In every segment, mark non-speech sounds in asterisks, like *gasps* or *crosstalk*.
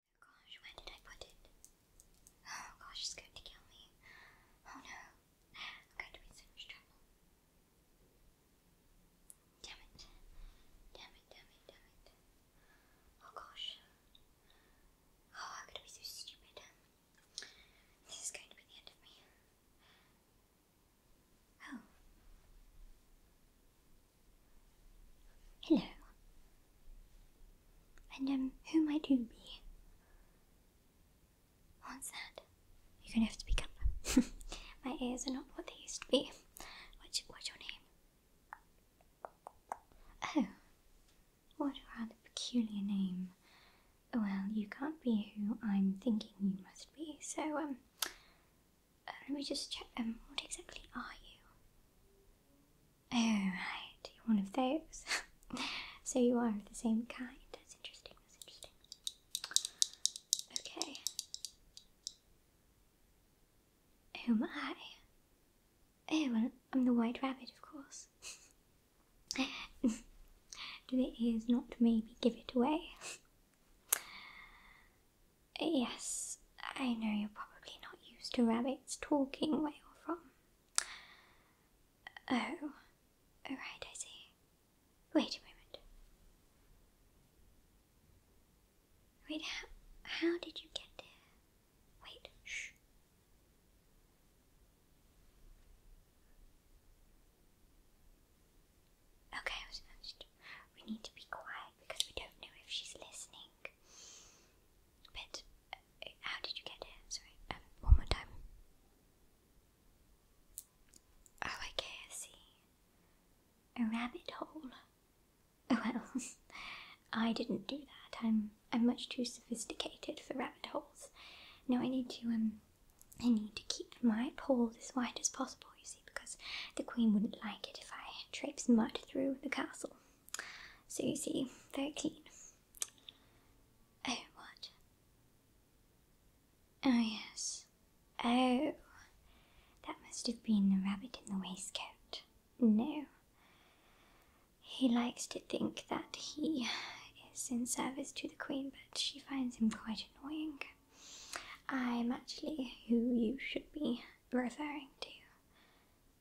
Oh gosh, where did I put it? Oh gosh, it's going to kill me. Oh no, I'm going to be so much trouble. Damn it. Damn it, damn it, damn it. Oh gosh. Oh, I'm gonna be so stupid. This is going to be the end of me. Oh. Hello. And um, who might you be? What's that? You're gonna have to be careful. *laughs* My ears are not what they used to be. What's, your name? Oh, what a rather peculiar name. Well, you can't be who I'm thinking you must be, so, um, uh, let me just check, um, what exactly are you? All right, You're one of those. *laughs* so you are the same kind. That's interesting. That's interesting. Okay. Who am I? Oh, well, I'm the white rabbit, of course. Do the ears not maybe give it away? *laughs* yes, I know you're probably not used to rabbits talking where you're from. Oh, oh right, Wait a moment. Wait, how, how did you get there? Wait, Okay, I we need to be quiet because we don't know if she's listening. But how did you get here? Sorry, um, one more time. Oh, I can't A rabbit hole. Oh well, *laughs* I didn't do that. I'm I'm much too sophisticated for rabbit holes. No, I need to um I need to keep my pole as wide as possible, you see, because the queen wouldn't like it if I traipsed mud through the castle. So you see, very clean. Oh, what? Oh, yes. Oh, that must have been the rabbit in the waistcoat. No. He likes to think that he is in service to the Queen, but she finds him quite annoying. I'm actually who you should be referring to.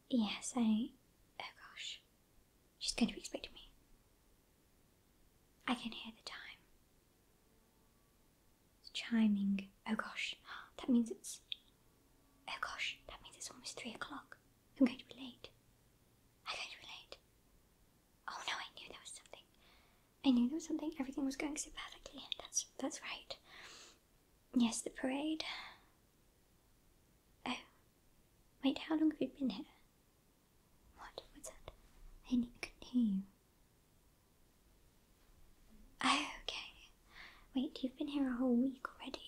Yes, I. Oh gosh. She's going to be expecting me. I can hear the time. It's chiming. Oh gosh. That means it's. Oh gosh. That means it's almost three o'clock. I'm going to be late. I'm going to be late. Oh no, I knew there was something. I knew there was something. Everything was going so perfectly. That's that's right. Yes, the parade. Oh. Wait, how long have you been here? What? What's that? I couldn't hear you. Oh, okay. Wait, you've been here a whole week already.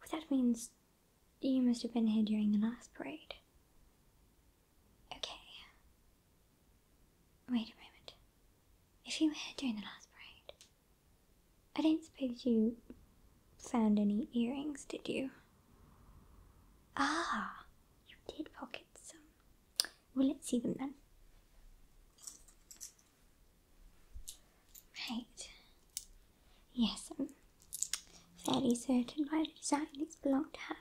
Well, that means you must have been here during the last parade. Okay. Wait a moment. If you were here during the last parade, I do not suppose you found any earrings, did you? Ah, you did pocket some. Well, let's see them then. Right. Yes, I'm fairly certain by the design these belong to her.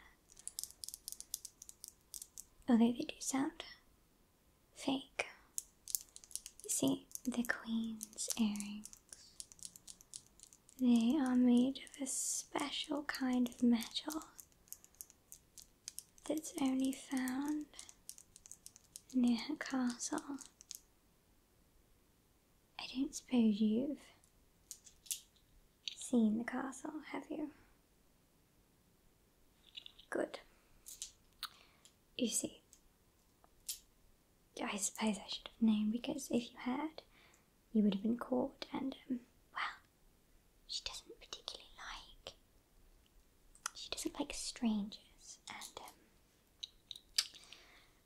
Although they do sound fake. You see, the queen's earrings. They are made of a special kind of metal that's only found near her castle. I don't suppose you've seen the castle, have you? Good. You see, I suppose I should have known because if you had, you would have been caught, and, um, well, she doesn't particularly like. She doesn't like strangers, and, um,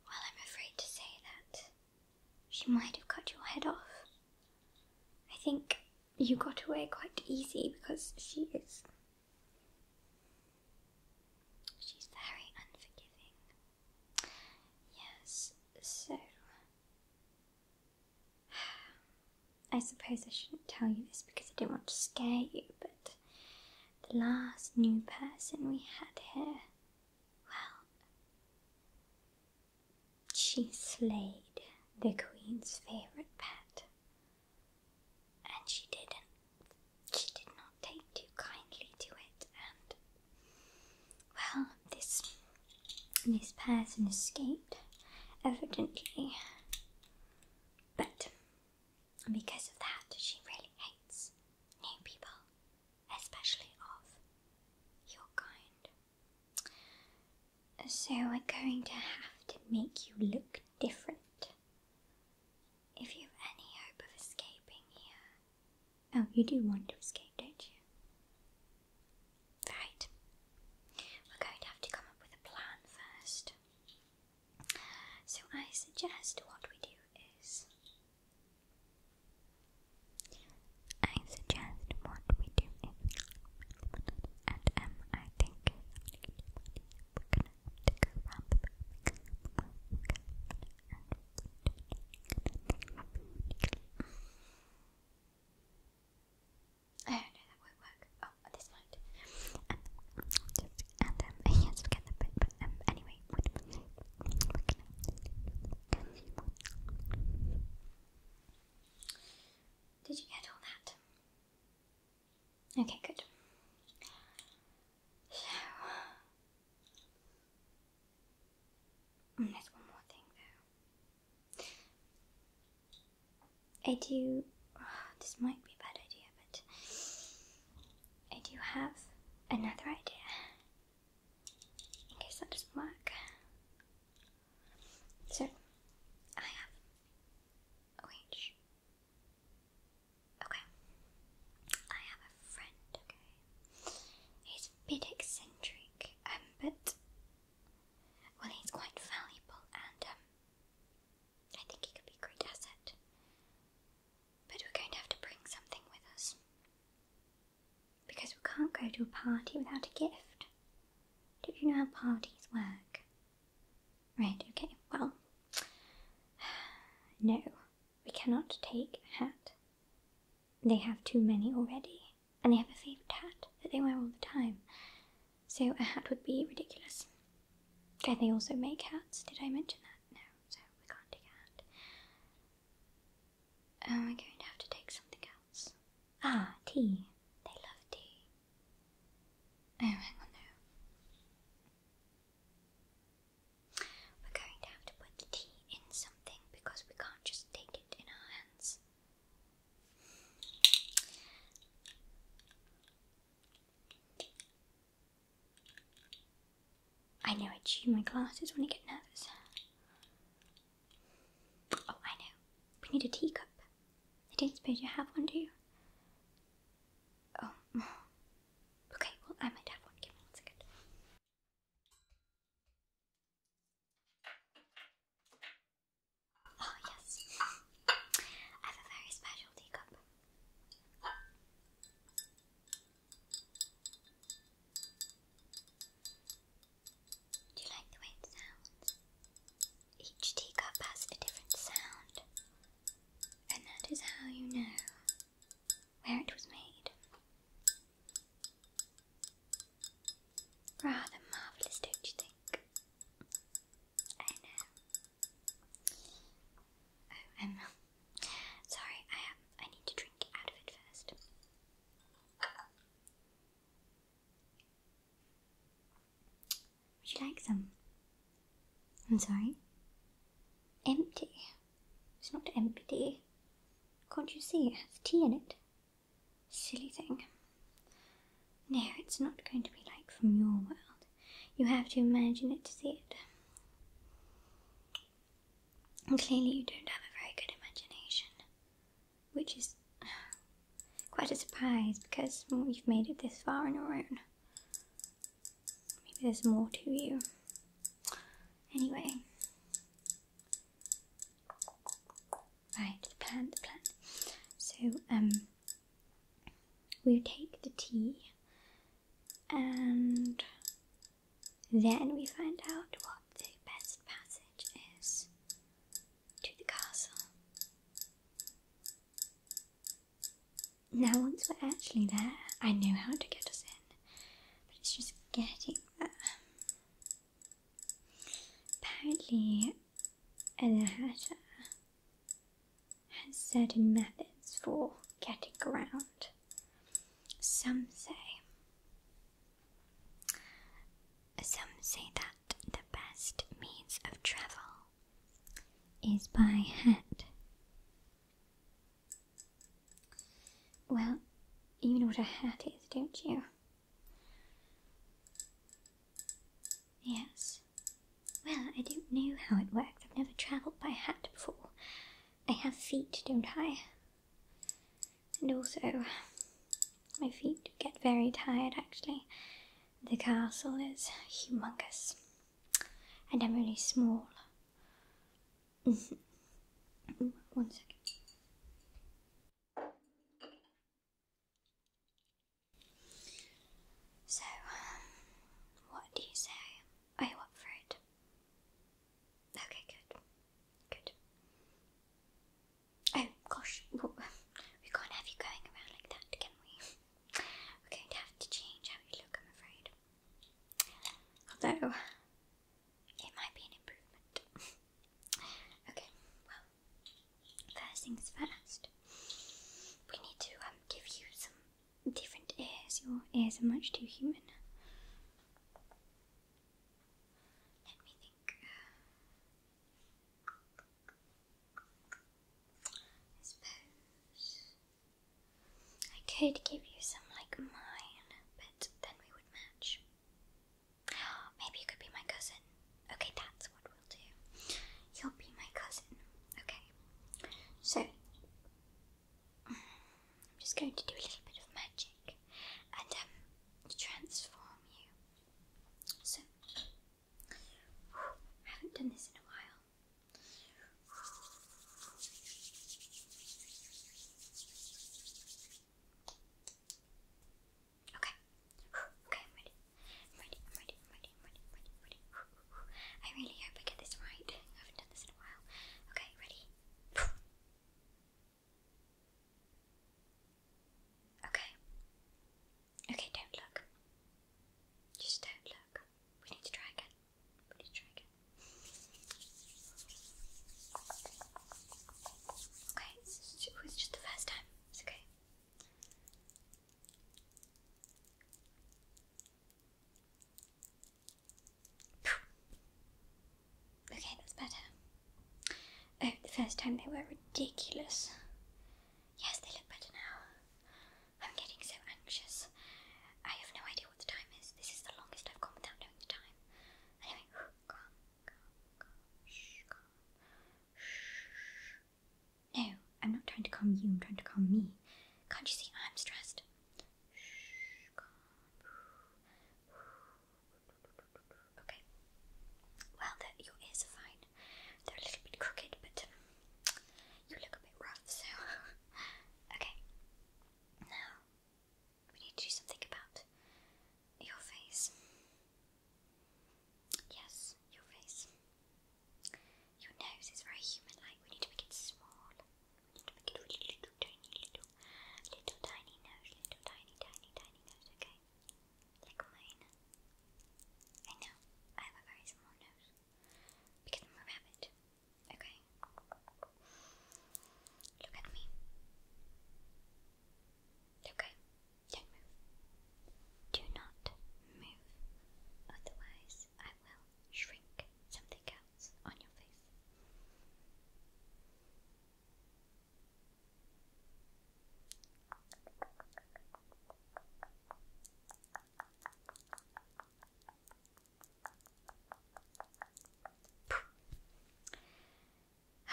well, I'm afraid to say that she might have cut your head off. I think you got away quite easy because she is She's very unforgiving. Yes, so. I suppose I shouldn't tell you this because I don't want to scare you, but the last new person we had here, well, she slayed the Queen's favourite pet and she didn't she did not take too kindly to it and well this this person escaped evidently but because of that she really hates new people especially of your kind so we're going to have to make you look different if you've any hope of escaping here. Oh, you do want to escape, don't you? Right. We're going to have to come up with a plan first. So I suggest what we do is. I suggest what we do is. Um, I don't know that work. Oh, this might. Um, and um, *laughs* yeah, just get bit. But um, anyway, Did you get all that? Okay, good. So, mm, there's one more thing though. I do. *sighs* this might be a bad idea, but I do have another idea. In case that doesn't work. So, I have. Oh, wait. Okay. I have a friend, okay? He's a bit eccentric, um, but. Well, he's quite valuable and, um, I think he could be a great asset. But we're going to have to bring something with us. Because we can't go to a party without a gift. Don't you know how parties work? Right, okay, well. *sighs* No, we cannot take a hat. They have too many already, and they have a favourite hat that they wear all the time. So a hat would be ridiculous. Okay, they also make hats. Did I mention that? No, so we can't take hat. we're going to have to take something else. Ah, tea. They love tea. Oh, hang on, no. We're going to have to put the tea in something because we can't just take it in our hands. I know I chew my glasses when I get nervous. Oh, I know. We need a teacup. I don't suppose you have one, do you? Oh, Okay, well, I might have one. Give me one second. Oh, yes. I have a very special teacup. Do you like the way it sounds? Each teacup has a different sound, and that is how you know where it was made. Rather marvellous, don't you think? I Oh, i um, sorry. I am. Um, I need to drink out of it first. Would you like some? I'm sorry? Empty. It's not empty. Can't you see it has tea in it? Silly thing. No, it's not going to be like from your world. You have to imagine it to see it. And clearly, you don't have a very good imagination, which is *sighs* quite a surprise because well, you've made it this far on your own. Maybe there's more to you. Anyway. Right, plan, the plan. So, um, we take the tea and then we find out what the best passage is to the castle. Now, once we're actually there, I know how to get us in, but it's just getting there. Apparently, Ella Hatter has certain methods for getting around. Some say, some say that the best means of travel is by hand. Well, you know what a hat is, don't you? Yes. Well, I don't know how it works. I've never travelled by hat before. I have feet, don't I? And also, my feet get very tired actually. The castle is humongous, and I'm really small. *laughs* One second. So, um, what do you say? Are you up for it? Okay, good. Good. Oh, gosh. We can't have you going around like that, can we? *laughs* We're going to have to change how you look, I'm afraid. Although, it might be an improvement. *laughs* okay, well, first things first, we need to um, give you some different ears. Your ears are much too human. Let me think. I suppose. I could give you some like mine, but then we would match. *gasps* Maybe you could be my cousin. Okay, that's what we'll do. You'll be my cousin. Okay. So, mm, I'm just going to do a little bit of magic and um, transform you. So, *sighs* haven't done this in a while. Okay. Okay, I'm ready. I'm ready, I'm ready, I'm ready, I'm ready, I'm ready, i really hope I get this right. I haven't done this in a while. Okay, ready? Okay. Okay, don't look. Just don't look. We need to try again. Please Okay, it was just the first time. It's okay. Okay, that's better. Oh, the first time they were ridiculous. Yes, they look better now. I'm getting so anxious. I have no idea what the time is. This is the longest I've gone without knowing the time. No, I'm not trying to calm you, I'm trying to calm me. Can't you see I'm stressed? *sighs* Okay. Well, your ears are fine. They're a little bit crooked, but um, you look a bit rough, so. *laughs* okay. Now, we need to do something about your face. Yes, your face. Your nose is very human like. We need to make it small. We need to make it really little, tiny, little, little, tiny nose. Little, tiny, tiny, tiny nose, okay? Like mine. I know, I have a very small nose. Because I'm a rabbit. Okay. Look at me. Okay. Don't move. Do not move. Otherwise, I will shrink something else on your face.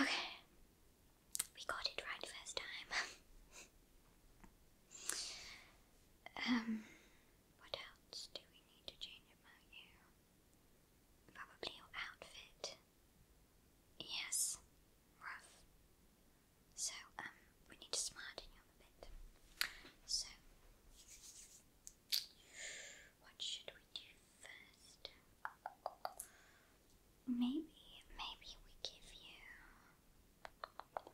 Okay, we got it right first time. *laughs* um, what else do we need to change about you? Probably your outfit. Yes, rough. So um, we need to smarten you up a bit. So what should we do first? Maybe, maybe we give you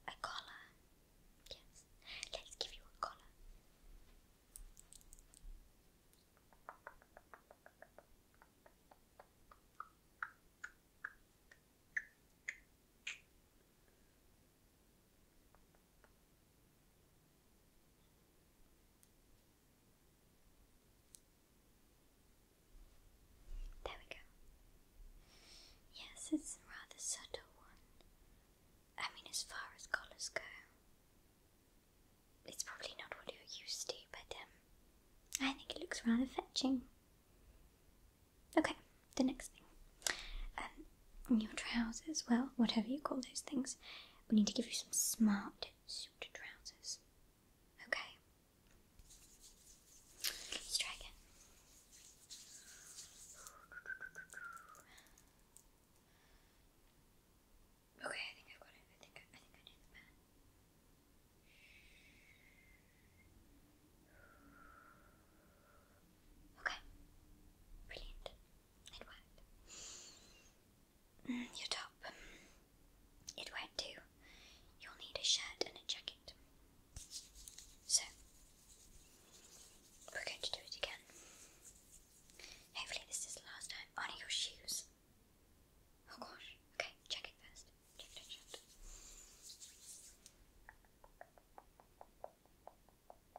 a collar. Yes, let's give you a collar. There we go. Yes, it's a rather subtle one. I mean, as far as colours go, it's probably not what you're used to, but um, I think it looks rather fetching. Okay, the next thing. Um, your trousers, well, whatever you call those things, we need to give you some smart suit trousers. Okay. Let's try again. Okay, I think I've got it. I think I, need the pen. Okay. Brilliant. It will mm, Your top. It won't do. You'll need a shirt and a jacket. So, we're going to do it again. Hopefully, this is the last time. On your shoes. Oh gosh. Okay, check first. Check, check, uh,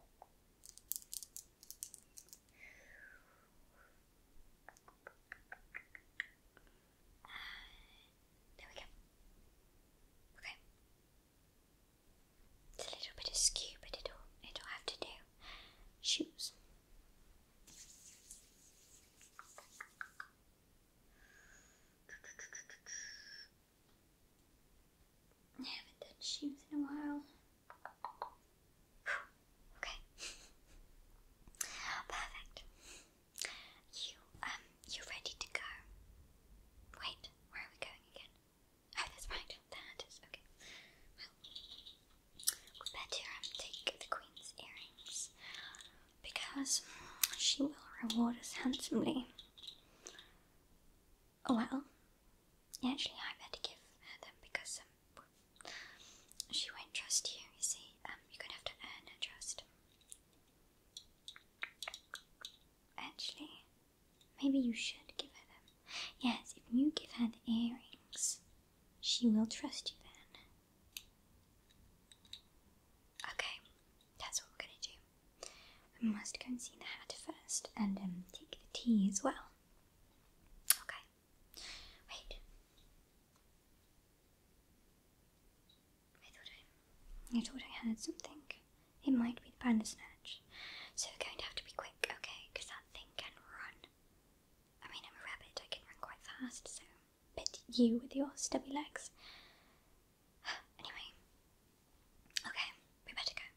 there we go. Okay. It's a little bit askew, but it'll it'll have to do. Shoes. I haven't done shoes in a while. Okay. Perfect. You um you ready to go? Wait, where are we going again? Oh that's right, there okay. Well we better um, take the Queen's earrings because she will reward us handsomely. Oh, well, Actually, I better give her them because um, she won't trust you, you see. Um, you're gonna have to earn her trust. Actually, maybe you should give her them. Yes, if you give her the earrings, she will trust you then. Okay, that's what we're gonna do. We must go and see the hat first and um, take the tea as well. Okay. Wait. I thought I, I thought I heard something. It might be the bandersnatch. So we're going to have to be quick, okay? Because that thing can run. I mean, I'm a rabbit. I can run quite fast, so... But you with your stubby legs. *gasps* anyway. Okay, we better go.